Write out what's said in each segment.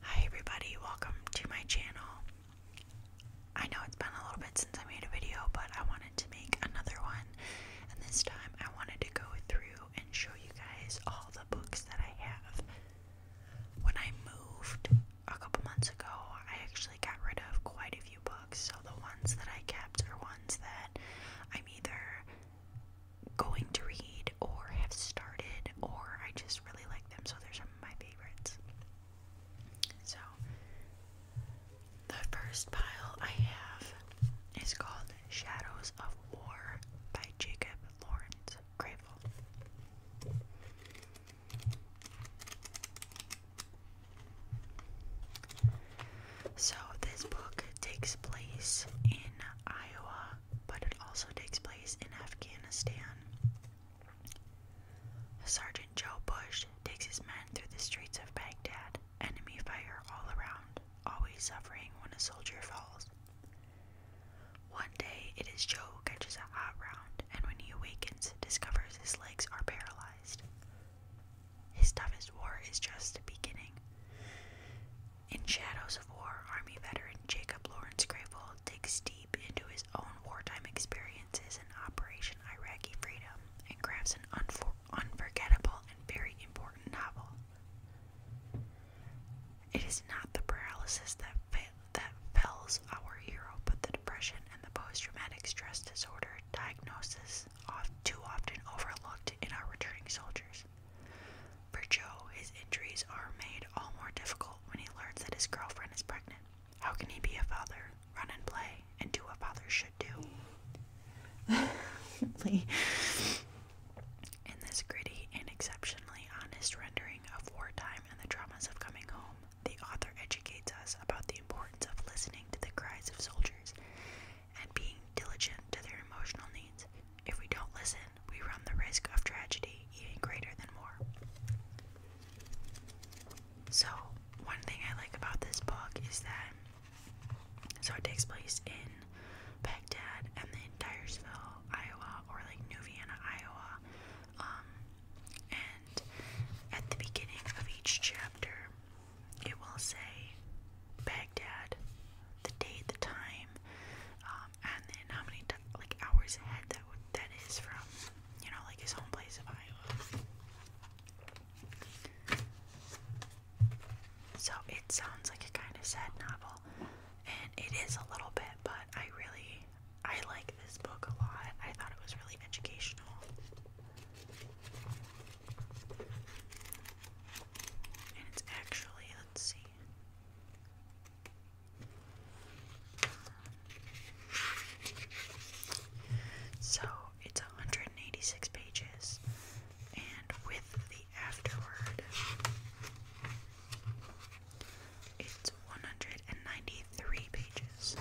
Hi everybody, welcome to my channel. I know it's been a little bit since I made a video, but I wanted to make another one. And this time I wanted to go through and show you guys all the books that I have. When I moved a couple months ago, I actually got rid of quite a few books. So the ones that I kept are ones that I'm either going to read or have started, or I just really like them, so they're some of my favorites. So, the first pile I have is called Shadows of War by Jacob Lawrence Gravel. So, this book takes place in Iowa but it also takes place in Afghanistan. Sergeant Joe Bush takes his men through the streets of Baghdad, enemy fire all around, always suffering when a soldier falls. One day, it is Joe who catches a hot round, and when he awakens, discovers his legs are paralyzed. His toughest war is just beginning. In Shadows of War, Army veteran Jacob Lawrence Grable digs deep into his own wartime experiences in Operation Iraqi Freedom and crafts an unforgettable and very important novel. It is not the paralysis that, that fells our hero, but the depression and the post-traumatic stress disorder diagnosis too often overlooked in our returning soldiers. For Joe, his injuries are made all more difficult when he learns that his girlfriend is pregnant. How can he be a father, run and play, and do what fathers should do? In this gritty and exceptionally honest rendering of wartime and the dramas of coming home, the author educates us about the importance of listening to the cries of soldiers and being diligent to their emotional needs. If we don't listen, we run the risk of tragedy even greater than war. So, one thing I like about this book is that so it takes place in Baghdad and then Dyersville, Iowa, or like New Vienna, Iowa. Um, and at the beginning of each chapter, it will say Baghdad, the date, the time, um, um, and then how many like hours ahead that would that is from, you know, like his home place of Iowa. So it sounds like a kind of sad novel, and it is a little bit, but I really I like this book a lot. I thought it was really educational. And it's actually, let's see. So it's 186 pages, and with the afterword, it's 193 pages.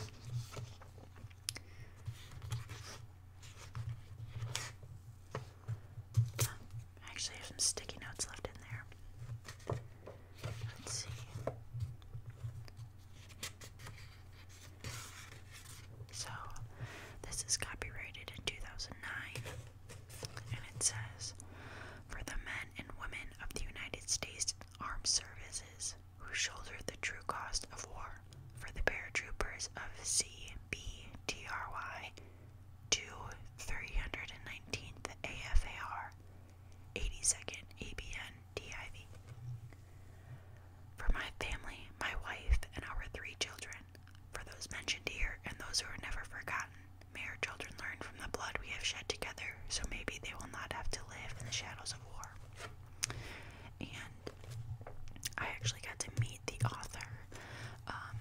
Um, I actually have some sticky notes left in there. Let's see. So, this is copyrighted in 2009, and it says For the men and women of the United States Armed Services who shoulder the true cost of war, for the paratroopers of CBTRY to 319th AFAR, 82nd ABN DIV. For my family, my wife, and our three children, for those mentioned here and those who are never forgotten, may our children learn from the blood we have shed together so maybe they will not have to live in the shadows of war. And I actually got to meet the author. Um,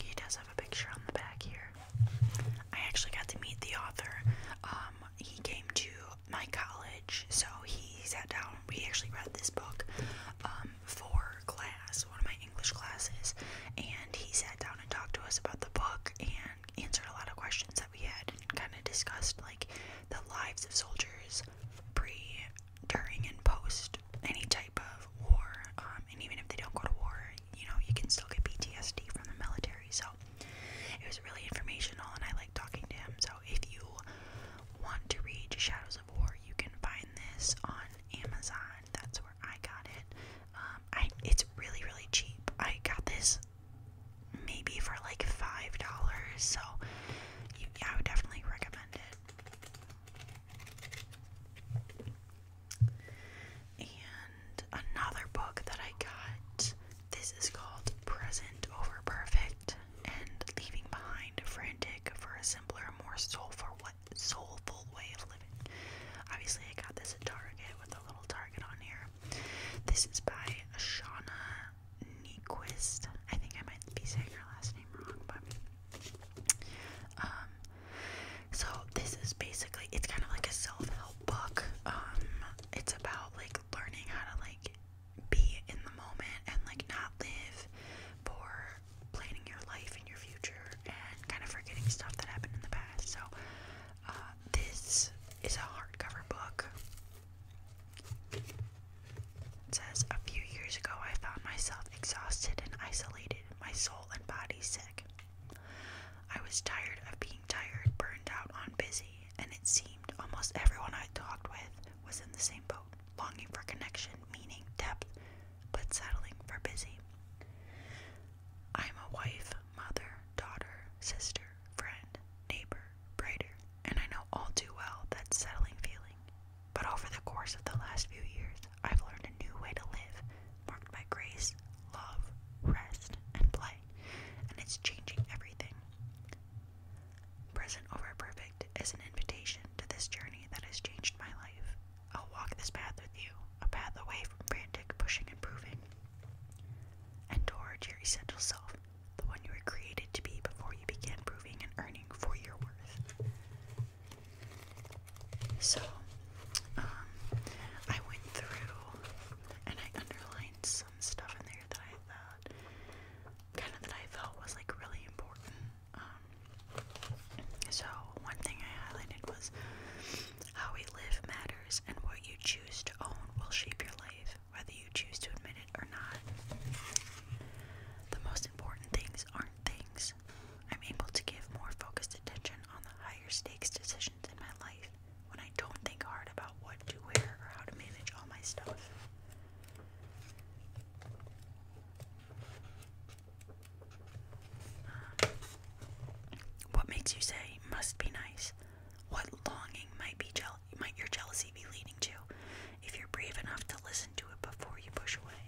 he does a have a picture on the back here. I actually got to meet the author. Um, he came to my college, so he sat down. We actually read this book um, for class, one of my English classes, and he sat down and talked to us about the book and answered a lot of questions that we had and kind of discussed like the lives of soldiers pre, during, and post any type of war, um, and even if they don't go to war, you know, you can still get PTSD from the military. So it was really informational, and I like talking to him. So if you want to read Shadows of War, you can find this on Amazon. That's where I got it. Um, I it's really really cheap. I got this maybe for like five dollars. So yeah, I would definitely recommend it. And another book that I got this is called Present Over Perfect and Leaving Behind Frantic for a Simpler, More Soulful, soulful Way of Living. Obviously, I got this at Target with a little target on here. This is by Shauna Nequist. I think I might be saying her last name wrong, but. Um, so this is basically it's kind of like a self-help book. Um, it's about like learning how to like be in the moment and like not live for planning your life and your future and kind of forgetting stuff that happened in the past. So uh, this is a hardcover book. It says a few years ago I found myself exhausted and isolated, my soul and body sick. I was tired of being tired, burned out on busy, and it seemed almost everyone I talked with was in the same boat, longing for connection, meaning, depth, but settling for busy. I'm a wife, mother, daughter, sister, friend, neighbor, brighter, and I know all too well that settling feeling. But over the course of the last few years, I've learned a new way to live, marked by grace, love, rest, and play and it's changing everything. Present over perfect is an invitation to this journey that has changed my life. I'll walk this path with you, a path away from frantic pushing and proving, and toward your essential self, the one you were created to be before you began proving and earning for your worth. So, um, I went through and I underlined some stuff in there that I thought kind of that I felt was like really important. Um, so one thing I highlighted was how we live matters, and what you choose to own will shape your life, whether you choose to admit it or not. The most important things aren't things. I'm able to give more focused attention on the higher stakes decisions in my life when I don't think hard about what to wear or how to manage all my stuff. what makes you say must be nice? What longing might be jeal might your jealousy be leading to if you're brave enough to listen to it before you push away?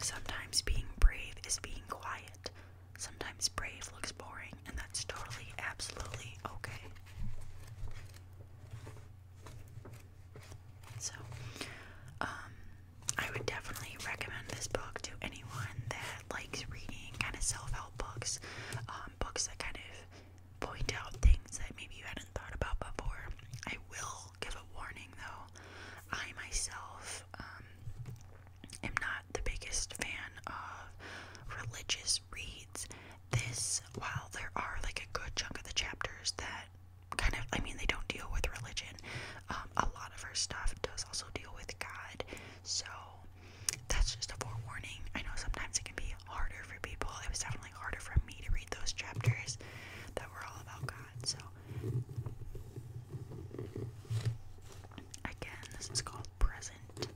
Sometimes being brave is being quiet. Sometimes brave looks boring, and that's totally, absolutely okay. So, um, I would definitely recommend this book to anyone that likes reading kind of self help books, um, books that kind of point out things that maybe you hadn't thought about before. I will give a warning though. I myself um, am not the biggest fan of religious reads. This, while there are like a good chunk of the chapters that kind of, I mean, they don't deal with religion, um, a lot of her stuff does also deal with God. So that's just a forewarning. I know sometimes it can be harder for people. It was definitely harder for me to read those chapters that were all about God. So, again, this is called present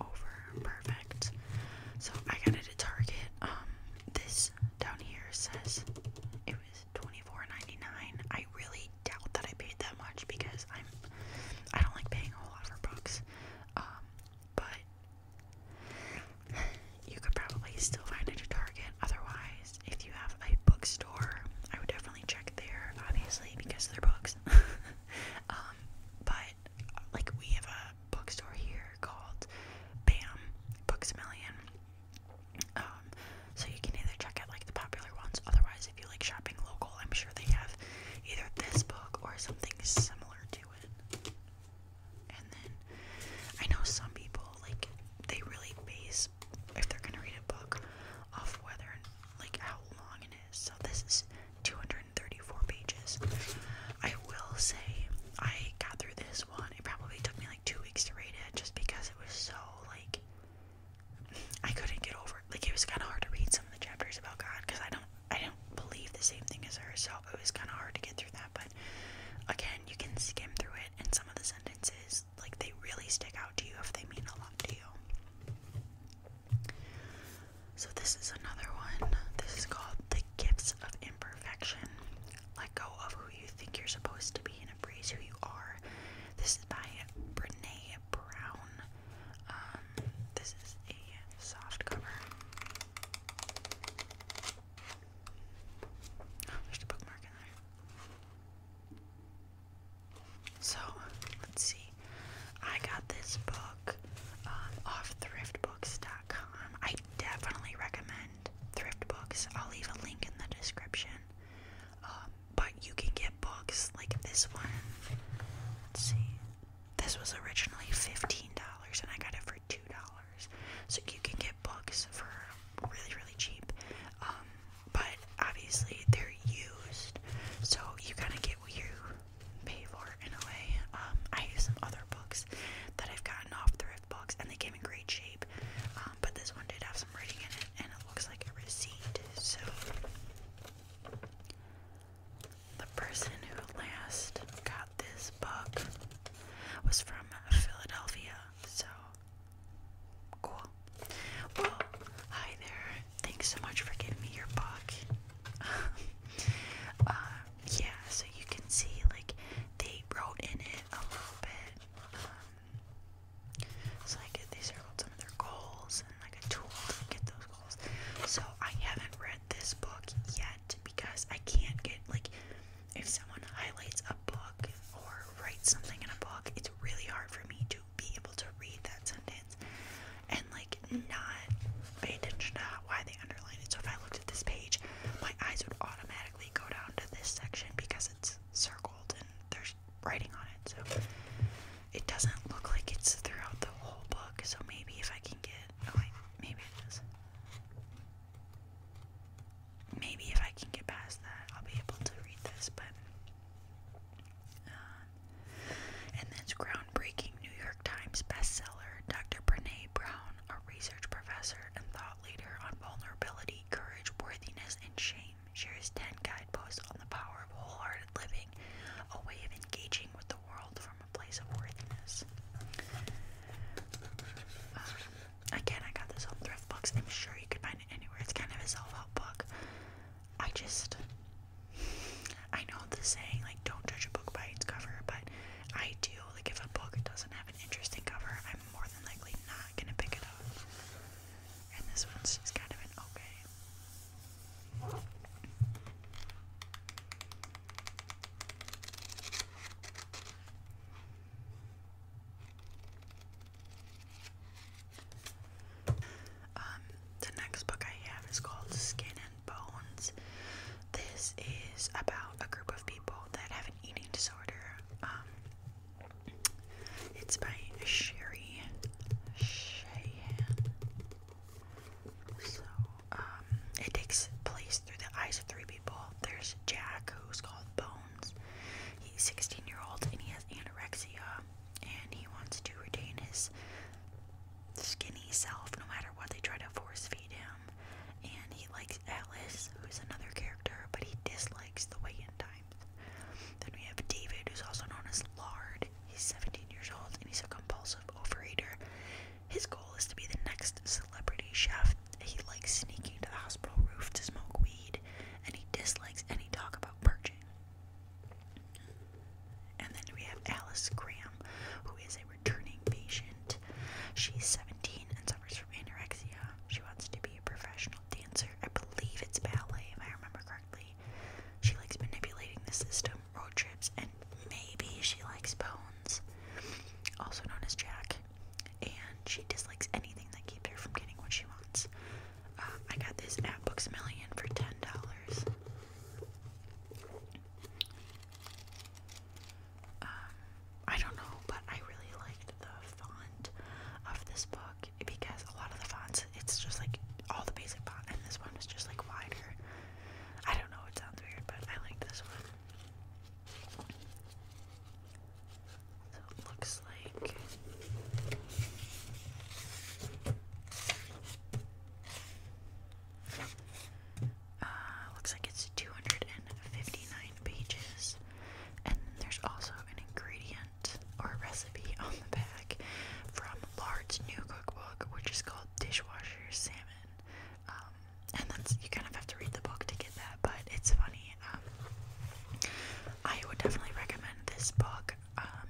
over perfect. So, I got it at Target. Um, this down here says it was $24.99. I really doubt that I paid that much because I'm I don't like paying a whole lot for books. Um, but you could probably still find it at Target. Otherwise, if you have a bookstore, I would definitely check there, obviously, because they're books. Um, but like we have a bookstore here called Bam Books a Million. Um, so you can either check out like the popular ones. Otherwise, if you like shopping local, I'm sure they have either this book or something similar to it. And then I know some people like they really base if they're gonna read a book off whether like how long it is. So this is 234 pages. I will say I got through this one. It probably took me like two weeks to read it just because it was so like I couldn't get over it. Like it was kind of hard to read some of the chapters about God because I don't I don't believe the same thing as her, so it was kind of hard to get through that. But again, you can skim through it, and some of the sentences, like, they really stick out to you if they mean a lot to you. So, this is another one. This is called The Gifts of Imperfection. Let go of who you think you're supposed to be and embrace who you are. This is by Brene Brown. Um, this is a soft cover there's a bookmark in there. So, let's see. I got this book um, off thriftbooks.com. I definitely recommend thrift books. I'll leave a link in the description. Um, but you can get books like this one. see. This was originally $15 and I got it for $2. So you can get books for really, really cheap. Um, but obviously they're used, so you kind of get what you pay for in a way. Um, I have some other books that I've gotten off thrift books, and they came in great shape. Um, but this one did have some writing in it, and it looks like a receipt. So the person who last got this book was from Philadelphia. So cool. Well, hi there. Thanks so much for giving me your book. Uh, yeah, so you can see like they wrote in it a little bit. Um, so like they circled some of their goals and like a tool to get those goals. So I haven't read this book yet because I can't get like if someone highlights a book or writes something in a book, it's really hard for me to be able to read that sentence and like not pay attention to why they underline it. So if I looked at this page, my eyes would automatically go down to this section because it's circled and there's writing on it. So it doesn't look like it's throughout the whole book. So maybe if I can get oh wait, maybe it maybe if I can get past that, I'll be able to read this. But um, uh, this groundbreaking New York Times bestseller, Dr. Brene Brown, a research professor and thought leader on vulnerability, courage, worthiness, and shame, shares ten guideposts on the power of wholehearted living, a way of engaging with the world from a place of worthiness. Um, again, I got this on thrift books. I'm sure you can find it anywhere. It's kind of a self-help book. I just, I know the saying like don't judge a book by its cover, but I do. Like if a book doesn't have an interesting cover, I'm more than likely not gonna pick it up. And this one's just kind of an okay. Um, the next book I have is called Skin and Bones. This is about a group of people that have an eating disorder. Um, it's by Sherry Shahan. Um, it takes place through the eyes of three people. There's Jack, who's called Bones. He's 16 year old and he has anorexia, and he wants to retain his skinny self no matter what they try to force feed him. And he likes Alice, who's another character, but he dislikes the way in times. Then we have David, who's also known as Lard. He's 17 years old and he's a compulsive overeater. His goal is to be the next celebrity chef. He likes sneaking to the hospital roof to smoke weed, and he dislikes any talk about purging. And then we have Alice Graham, who is a returning patient. She's 17 and suffers from anorexia. She wants to be a professional dancer. I believe it's ballet, if I remember correctly. She likes manipulating the system, road trips, and maybe she likes bones. Also known as Jack and she dislikes anything that keeps her from getting what she wants. Um, I got this at Million for ten dollars. Um, I don't know, but I really liked the font of this book because a lot of the fonts, it's just like all the basic font, and this one is just like wider. I don't know, it sounds weird, but I like this one. So it looks like uh, looks like it's 259 pages and there's also an ingredient or recipe on the back from Lard's new cookbook which is called dishwasher salmon um, and that's you kind of have to read the book to get that, but it's funny. Um, I would definitely recommend this book. Um,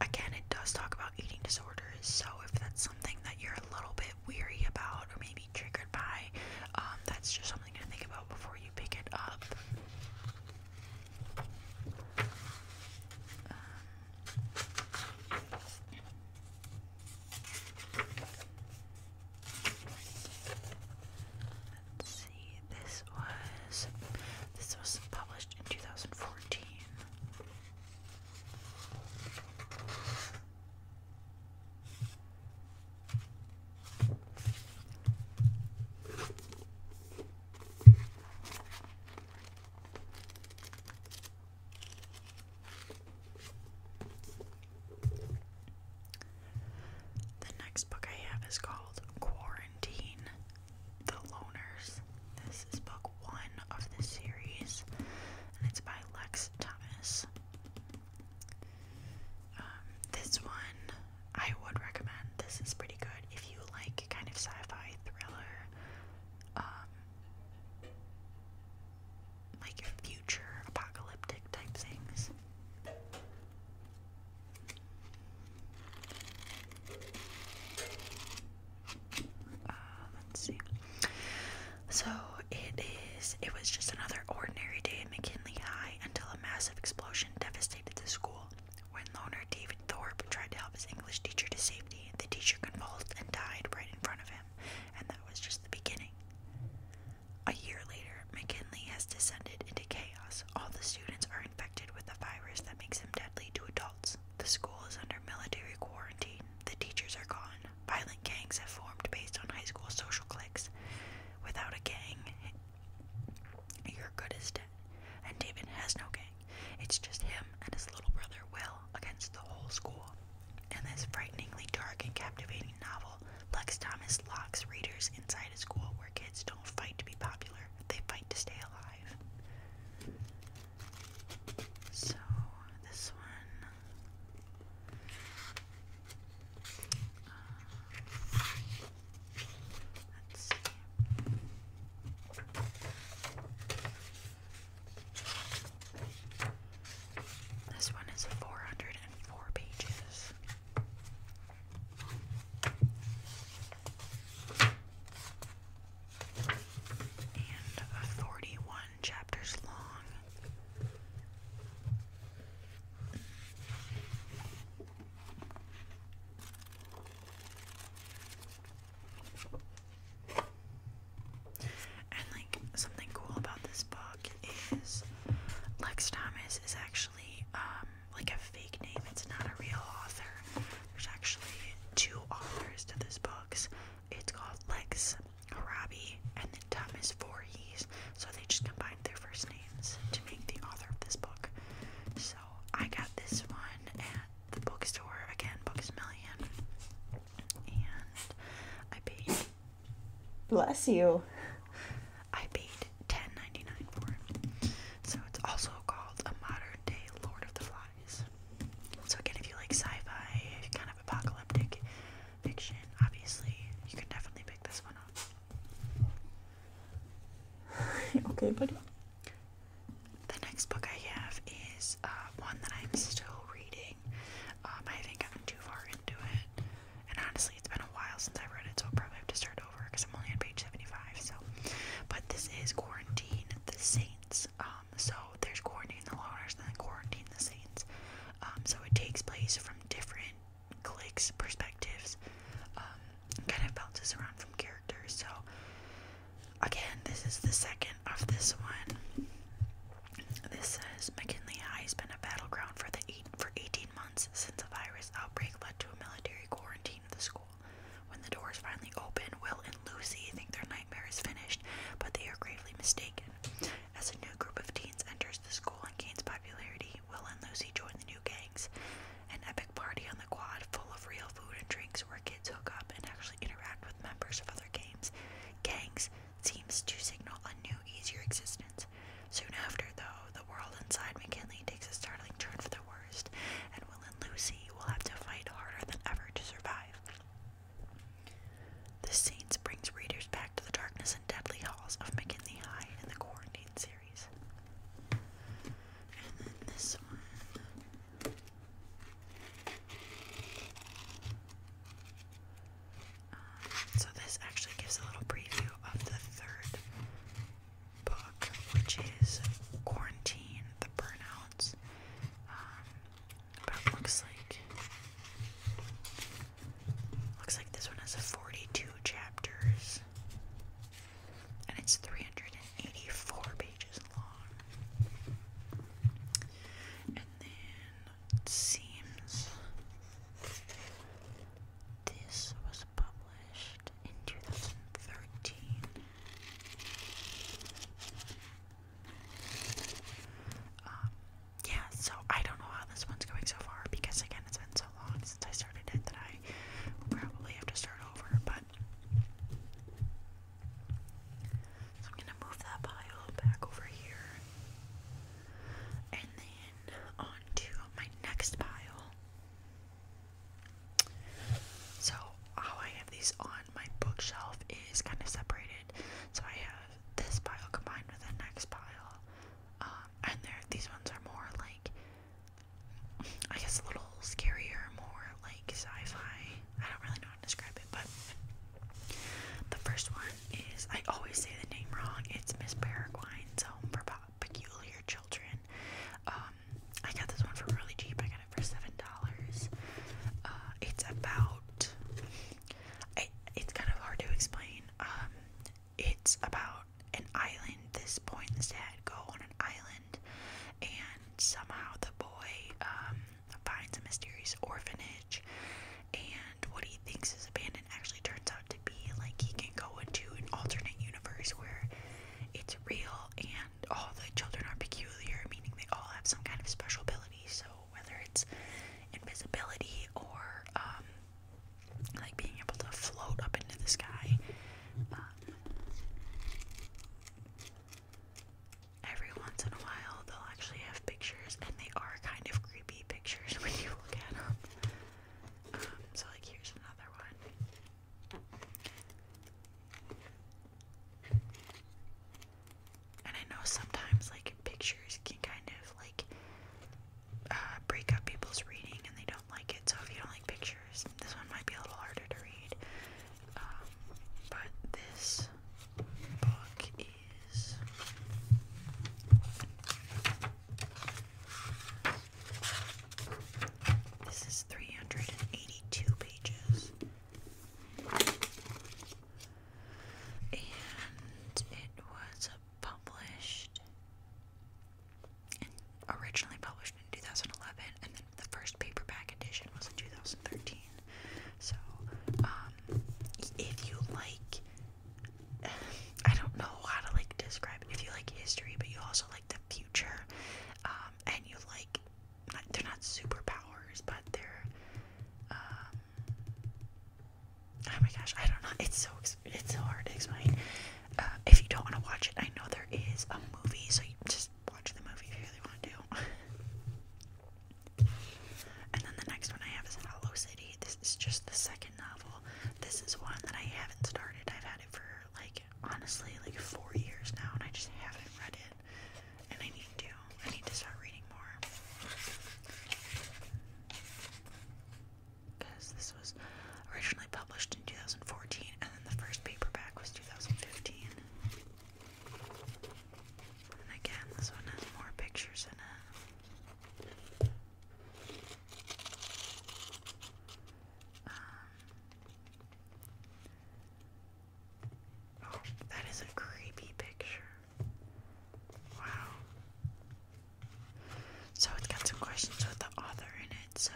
again, it does talk about eating disorders, so if that's something that you're a little bit weary about or maybe triggered by, um, that's just something to think about before you pick it up. Let's see. This was this was published in 2014. The next book I have is called Quarantine The Loners. This is book one of the series, and it's by Lex Thomas. Um, this one I would recommend. This is pretty good if you like kind of sci fi thriller. Um, like future apocalyptic type things. Uh, let's see. So it is. It was just another ordinary day at McKinley High until a massive explosion devastated the school. When loner David Thorpe tried to help his English teacher to safety, the teacher convulsed and died right in front of him, and that was just the beginning. A year later, McKinley has descended into chaos. All the students are infected with a virus that makes them deadly to adults. The school is under military quarantine. The teachers are gone. Violent gangs have formed based on high school social cliques. Without a gang, you're good as dead. And David has no gang. It's just him and his little brother Will against the whole school. In this frighteningly dark and captivating novel, Lex Thomas locks readers inside a school where kids don't fight to be popular, they fight to stay alive. So, this one. Uh, let's see. This one is 404 pages. And 41 chapters long. And like something cool about this book is Lex Thomas is actually um, like a fake name. It's not a real author. There's actually two authors to this book. It's called Lex Harabi and then Thomas Voorhees. So they just combined their first names to make the author of this book. So I got this one at the bookstore again, Books Million, and I paid Bless you. I paid 10 for it. So it's also called a modern day Lord of the Flies. So again, if you like sci-fi, kind of apocalyptic fiction, obviously you can definitely pick this one up. okay, buddy. The next book I have is uh, one that I'm still reading. Um, I haven't gotten too far into it. And honestly, it's been a while since I read it, so I'll probably have to start over because I'm only on page 75. So, but this is Quarantine the Saints. Um, so there's Quarantine the Loners and then Quarantine the Saints. Um, so it takes place from different clique's perspectives, um, kind of bounces around from characters. So, again, this is the second of this one. This says McKinley High has been a battleground for the for 18 months since the virus outbreak led to a military quarantine of the school. When the doors finally open, Will and Lucy think their nightmare is finished, but they are gravely mistaken. As a new group of teens enters the school and gains popularity, Will and Lucy join the new gangs. An epic party on the quad full of real food and drinks where kids hook up and actually interact with members of other gangs. gangs, seems to signal a new, easier existence. Soon after, though, the world inside McKinley takes a startling turn for the worst, and Will and Lucy will have to fight harder than ever to survive. This scene brings readers back to the darkness and deadly halls of McKinley High in the Quarantine series. Um, so this actually gives a little preview of the third book, which is Quarantine: The Burnouts. Um, but it looks like looks like this one has 42 chapters, and it's 384 pages long. And then it seems this was published in 2013. Um, yeah, so I don't know how this one's going so far because, again, it's been so long since I started it that I probably have to start over. But I'm gonna move that pile back over here and then on my next pile. So, how I have these on my bookshelf is kind of separated. So, I have this pile combined with the next pile. Um, and there these ones are more like, I guess, a little scarier, more like sci fi. I don't really know how to describe it, but the first one is I always say the name wrong. It's Miss Paraguine's Home for Peculiar Children. Um, I got this one for really cheap. I got it for seven dollars. Uh, it's about. it's kind of hard to explain. Um, it's about an island. This boy and his dad go on an island, and somehow the boy um, finds a mysterious orphanage, and what he thinks is abandoned actually turns out to be like he can go into an alternate universe where it's real and all the children are peculiar, meaning they all have some kind of special ability. So whether it's invisibility or um, like being able to float up into the sky, um, every once in a while they'll actually have pictures, and they are kind of creepy pictures when you look at them so, like, here's another one. And I know sometimes, like, pictures can kind of, like, uh, break up people's reading and they don't like it. So, if you don't like pictures, this one might be a little harder to read. Um, but this book is. This is 382 pages. And it was published originally published in 2011 and then the first paperback edition was in 2013. So, um, if you like I don't know how to like describe if you like history, but you also like the future, um, and you like they're not superpowers, but they're um, oh my gosh, I don't know. It's so it's so hard to explain. Uh, if you don't want to watch it, I know there is a movie, so you just watch the movie if you really want to. and then the next one I have is Hollow City. This is just the second novel. This is one that I haven't started. I've had it for like honestly like four years now, and I just haven't read it. And I need to. I need to start reading more. Because this was originally published in 2014, and then the first paperback was 2015. And again, this one has more pictures in it. Um, oh, that is a creepy picture. Wow. So it's got some questions with the author in it, so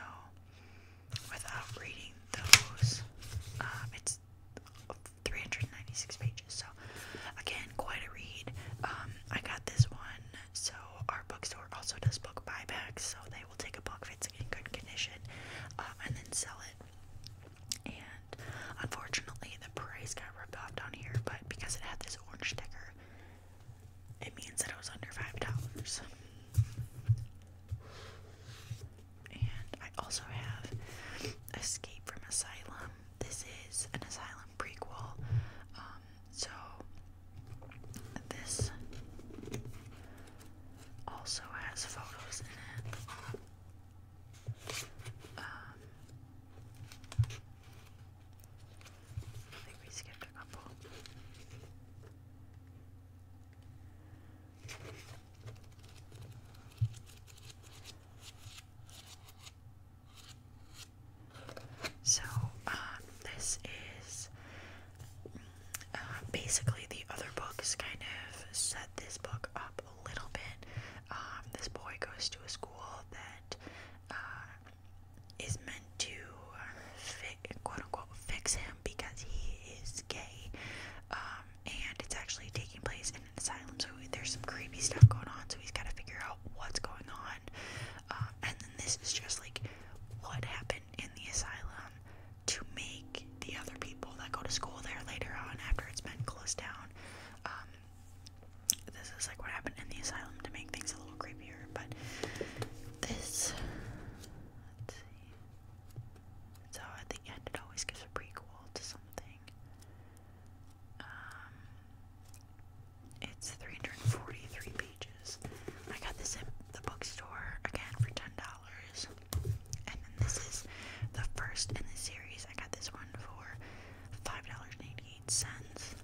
without reading those, um, it's 396 pages. So, again, quite a read. Um, I got this one, so our bookstore also does book buybacks, so they will take a book if it's in good condition um, and then sell it. And unfortunately, the price got ripped off down here, but because it had this orange sticker, it means that it was under five dollars. And I also have Escape from Asylum. This is an asylum prequel. Um, so this also has photos in it. Um, I think we skipped a couple. So, um, this is uh, basically the other books kind of set this book up a little bit. Um, this boy goes to a school that uh, is meant to quote unquote fix him because he is gay. Um, and it's actually taking place in an asylum, so there's some creepy stuff going on, so he's got to figure out what's going on. Um, and then this is just like what happened in the asylum to make the other people that go to school there later on after it's been closed down. Um, this is like what happened in the asylum to make things a little creepier, but this. So at the end, it always gives a prequel to something. Um, it's 343 pages. I got this at the bookstore again for ten dollars. And then this is the first in the series. I got this one for five dollars and eighty-eight cents.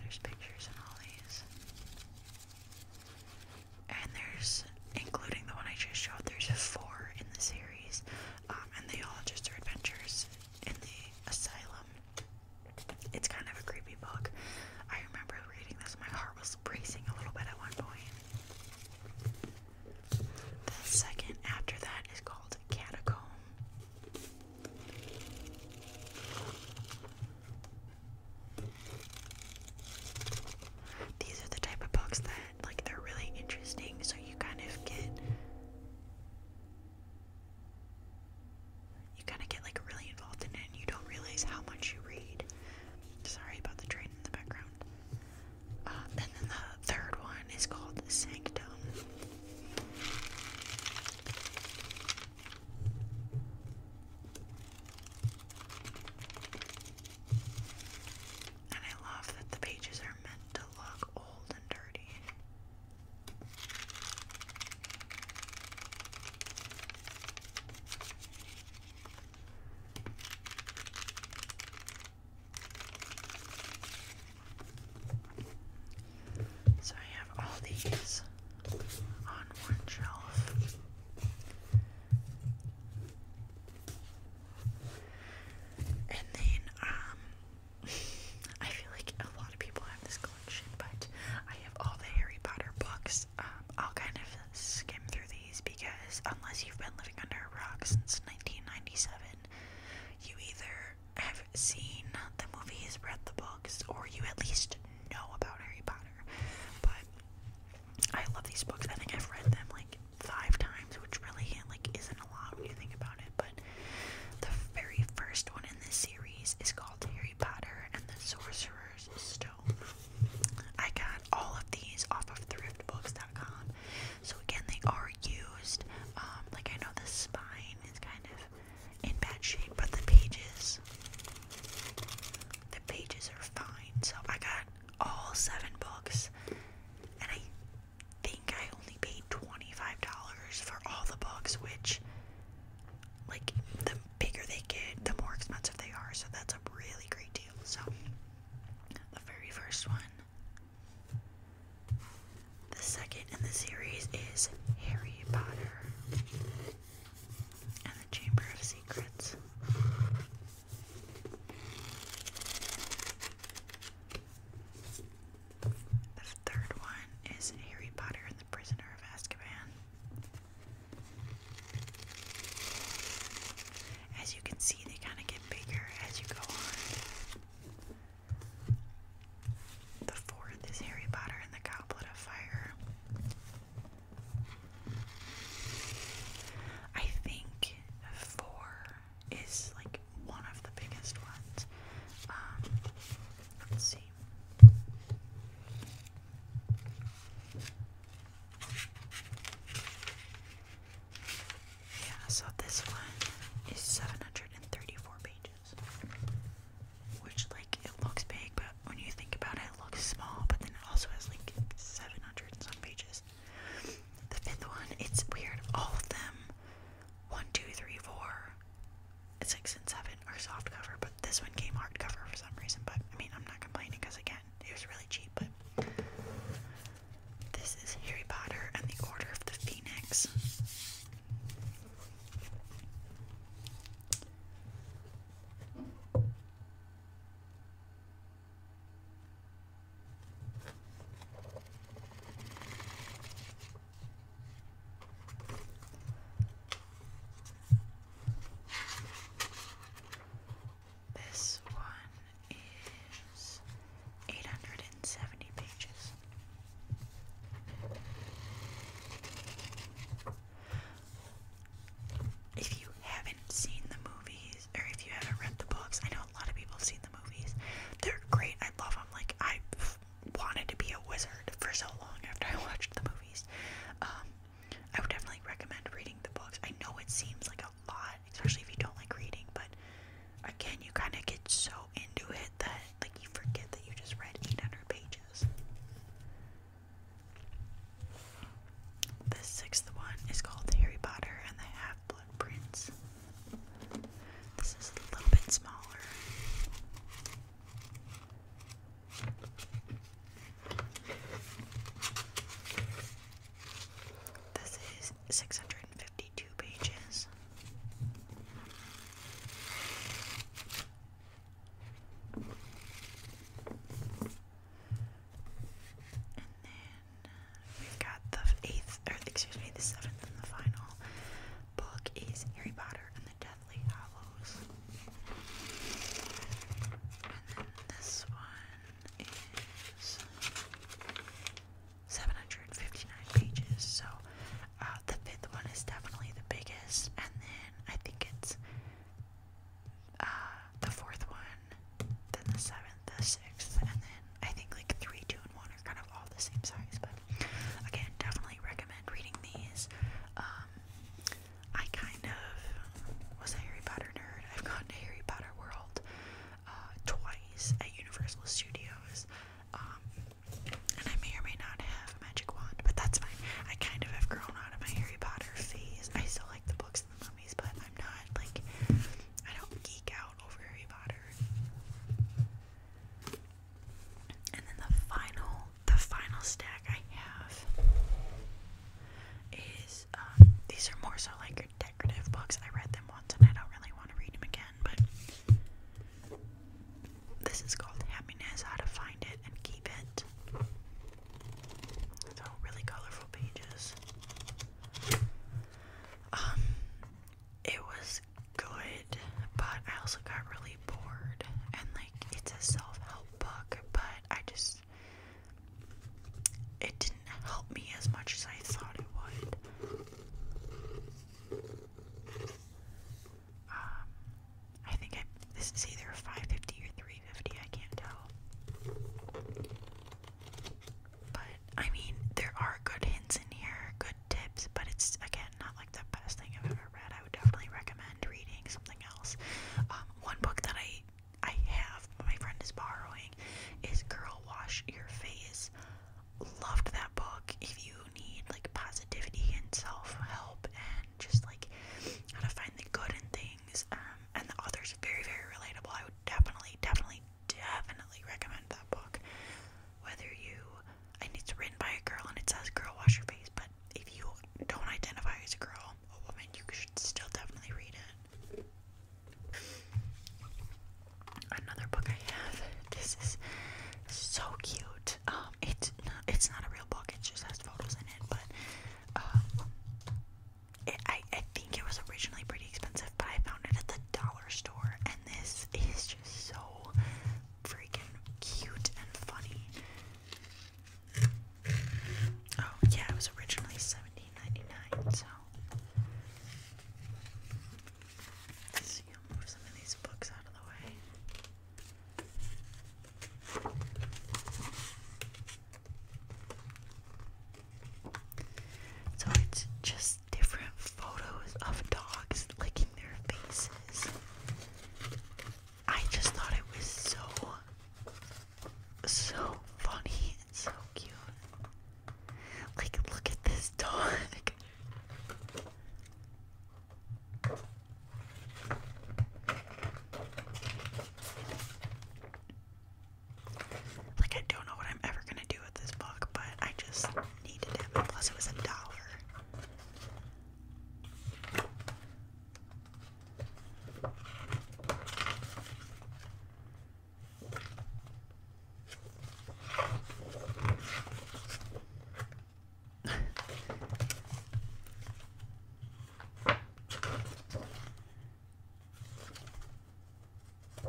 There's pictures in all these. And there's, including the one I just showed, there's four in the series. Um, and they all just are adventures in the asylum. It's kind of a creepy book. I remember reading this, my heart was bracing a little bit at one point. The second after that is called Catacomb. These are the type of books that, like, they're really interesting, so you kind of get you kind of get like really involved in it and you don't realize how much you read. Sorry about the train in the background. Uh, and then the third one is called Sanctum. And I love that the pages are meant to look old and dirty. So I have all these on one shelf. And then um, I feel like a lot of people have this collection, but I have all the Harry Potter books. Um, I'll kind of skim through these because unless you've been living under a rock since 1997, you either have seen the movies, read the books, or you at least know about Harry Potter. But I love these books. I think I've read them like five times, which really like isn't a lot when you think about it the very first one in this series is called Harry Potter and the Sorcerer's Stone. I got all of these off of thriftbooks.com. So again, they are used. Um, like I know the spine is kind of in bad shape, but the pages, the pages are fine. So I got all seven books, and I think I only paid $25 for all the books, which, like, the bigger they get, the more expensive they are. So that's a really great deal. So, the very first one, the second in the series is Harry Potter and the Chamber of Secrets. The third one is Harry Potter and the Prisoner of Azkaban. As you can see, they kind of get bigger as you go on. The fourth is Harry Potter and the Goblet of Fire. I think four is like one of the biggest ones. Um, let's see. Yeah, so this one is 734 pages. Which, like, it looks big, but when you think about it, it looks small, but then it also has like 700 some pages. The fifth one, it's weird. All of them one, two, three, four, six, and seven are soft cover, but this one came hard cover for some reason. But I mean, I'm not complaining because again, it was really cheap. But this is Harry Potter and the Order of the Phoenix. This one is eight hundred and seventy pages. If you haven't seen the movies, or if you haven't read the books, I know a lot of people have seen the movies. They're great. I love them. Like I i wanted to be a wizard for so long after I watched the movies. Um, I would definitely recommend reading the books. I know it seems like a lot, especially if you don't like reading, but again, you kind of get so into it that like you forget that you just read 800 pages. The sixth one is called Harry Potter and the Half Blood Prince. This is a little bit smaller. This is 652 pages. And then uh, we got the eighth, or excuse me, the seventh and the final book is Harry Potter and the Deathly Hallows. And then this one is 759 pages. So uh, the fifth one is definitely the biggest. And then I think it's uh, the fourth one, then the seventh, the sixth, and then I think like three, two, and one are kind of all the same size, but Again, definitely recommend reading these. Um, I kind of was a Harry Potter nerd. I've gone to Harry Potter World uh, twice at Universal Studios. Um, and I may or may not have a magic wand, but that's fine. I kind of have grown out of my Harry Potter phase. I still like the books and the movies, but I'm not like I don't geek out over Harry Potter. And then the final, the final stack I have is um, these are more so like decorative books. I read them once and I don't really want to read them again, but this is called Happiness: How to Find It and Keep It. So really colorful pages. Um, it was good, but I also got really bored. And like, it's a self help book, but I just. It didn't help me as much as I thought it would. Um, I think I, this is either 550 or 350, I can't tell. But I mean, there are good hints in here, good tips, but it's again not like the best thing I've ever read. I would definitely recommend reading something else. Um, one book that I I have, my friend is borrowing, is Girl Wash Your Face. Loved that book. If you need like positivity and self help and just like how to find the good in things, um, and the author's very very relatable. I would definitely definitely definitely recommend that book whether you and it's written by a girl and it says girl wash your face, but if you don't identify as a girl a woman, you should still definitely read it. Another book I have. This is so cute. Um, it's it's not a real book. It just has photos in it, but um, I I think it was originally pretty expensive, but I found it at the dollar store, and this is just so freaking cute and funny. Oh, yeah, it was originally 17 so. Let's see, I'll move some of these books out of the way. So it's just different photos of dogs licking their faces. I just thought it was so, so funny and so cute. Like, look at this dog. Like, I don't know what I'm ever gonna do with this book, but I just needed it. Plus, it was a dollar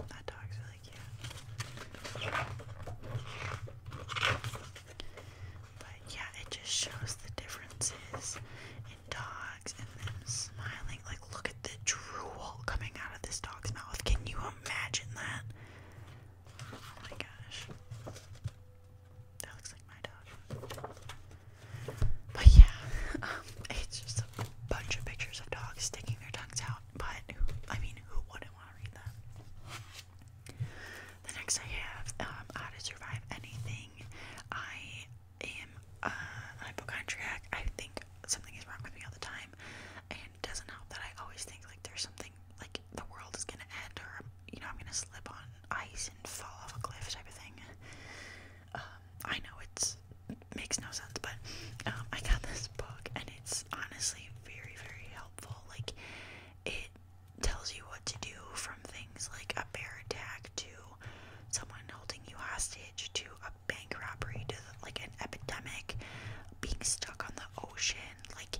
that dog's really cute. But yeah, it just shows the differences in dogs and them smiling. Like, look at the drool coming out of this dog's mouth. Can you imagine that? Oh my gosh. That looks like my dog. But yeah, um, it's just a bunch of pictures of dogs sticking their tongues out. But I mean, who wouldn't want to read that? The next I have um, How to Survive Anything. I am a hypochondriac. I think something is wrong with me all the time, and doesn't help that I always think like there's something like the world is gonna end, or you know I'm gonna slip on ice and fall off a cliff type of thing. Um, I know it's makes no sense, but um, I got this book and it's honestly very very helpful. Like it tells you what to do from things like a bear attack to someone holding you hostage to a bank robbery to like an epidemic, being stuck on the ocean. Like,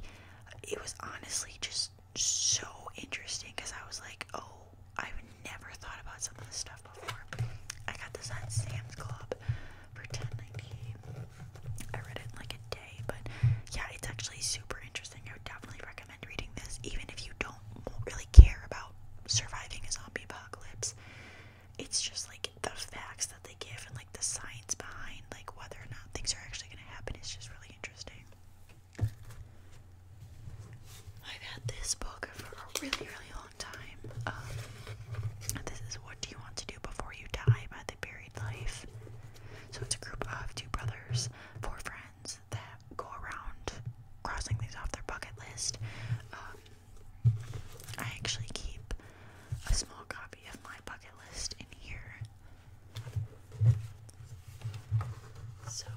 it was honestly just so interesting because I was like, oh, I've never thought about some of this stuff before. I got this at Sam's Club for 10 I read it like a but yeah, it's actually super interesting. I would definitely recommend reading this, even if you don't really care about surviving a zombie apocalypse. It's just like the facts that they give and like the science behind like whether or not things are actually going to happen It's just really interesting. I've had this book for a really, really long time. Um, this is What Do You Want to Do Before You Die by The Buried Life. So it's a group of two brothers, four friends that go around crossing things off their bucket list. Um, I actually keep a small copy of my bucket list in here. So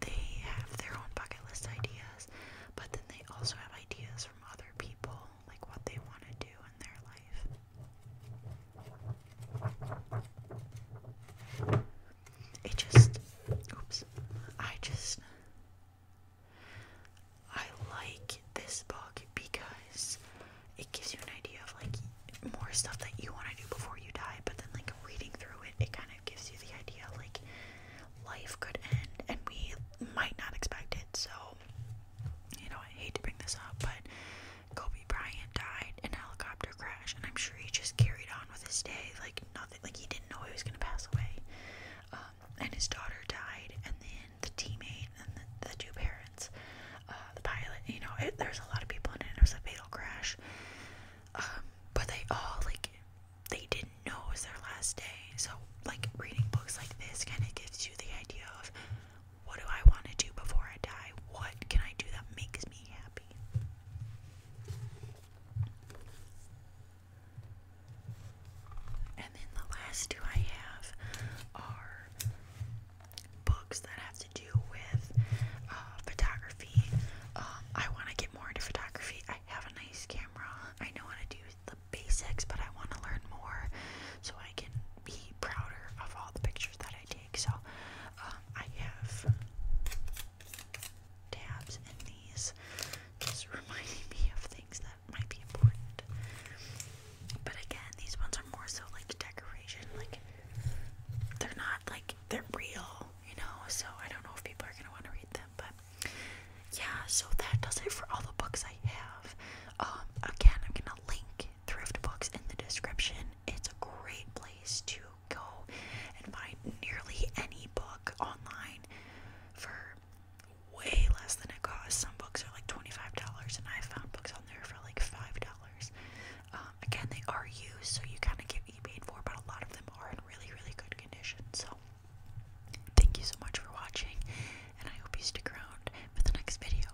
they have their own bucket list ideas, but then they also have ideas from other people, like what they want to do in their life life. It just, oops, I just, I like this book because it gives you an idea of like more stuff that you want to do before you die, but then like reading through it, it kind of gives you the idea like life could end and we might not expect it. So, you know, I hate to bring this up, but Kobe Bryant died in a helicopter crash, and I'm sure he just carried on with his day like nothing. Like he didn't know he was gonna pass away. Um, and his daughter died, and then the teammate and the, two parents, uh, the pilot. You know, it, there's a lot of people in it. It was a fatal crash. Um, but they all like they didn't know it was their last day. So like reading books like this kind of gives you the idea of what do I want to do before I die? What can I do that makes me happy? And then the last two I have are books that have to do with uh, photography. Um, I want to get more into photography. I have a nice camera. I know how to do the basics, but I want to learn more so I can be prouder of all the pictures that I take. So um, I have tabs in these, just reminding me of things that might be important. But again, these ones are more so like decoration, like they're not like they're real, you know. So I don't know if people are gonna want to read them, but yeah. So that does it for all the books I have. Um, again, I'm gonna link thrift books in the description it's a great place to go and find nearly any book online for way less than it costs. Some books are like $25, and I found books on there for like $5. Um, again, they are used, so you kind of get paid for, but a lot of them are in really, really good condition. So, thank you so much for watching, and I hope you stick around for the next video.